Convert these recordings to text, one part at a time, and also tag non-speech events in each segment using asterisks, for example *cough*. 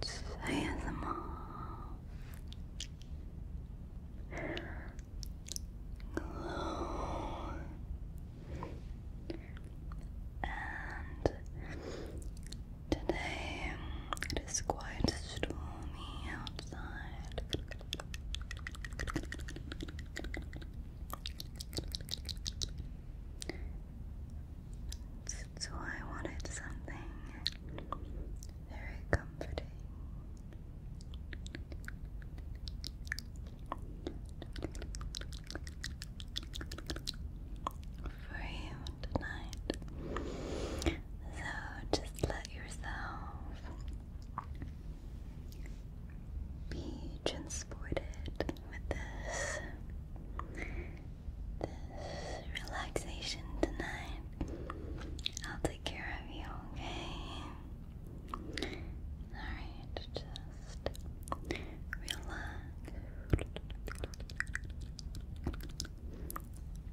It's ASMR. Glow and Today it is quite stormy outside. So I wanted something very comforting. For you tonight. So just let yourself be transported with this this relaxation tonight. I'll take care of you, okay? Alright, just relax.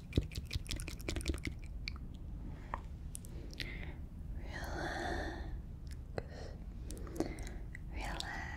Relax. Gently Relax.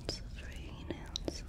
Lots of rain outside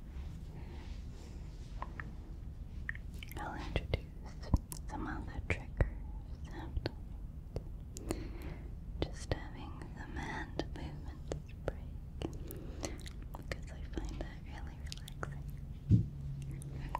I'll introduce some other triggers Just having the hand movements break because I find that really relaxing.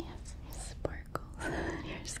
You sparkles *laughs* yourself.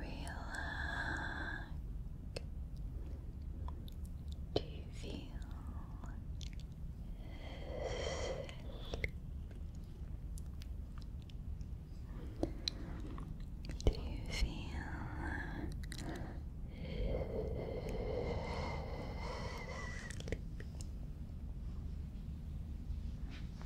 Relax. Do you feel Do you feel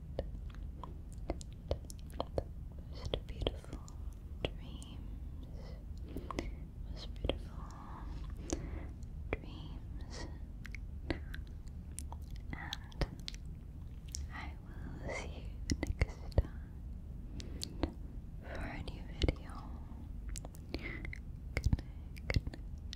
most beautiful dreams, most beautiful dreams, and I will see you next time for a new video. Good night, good night.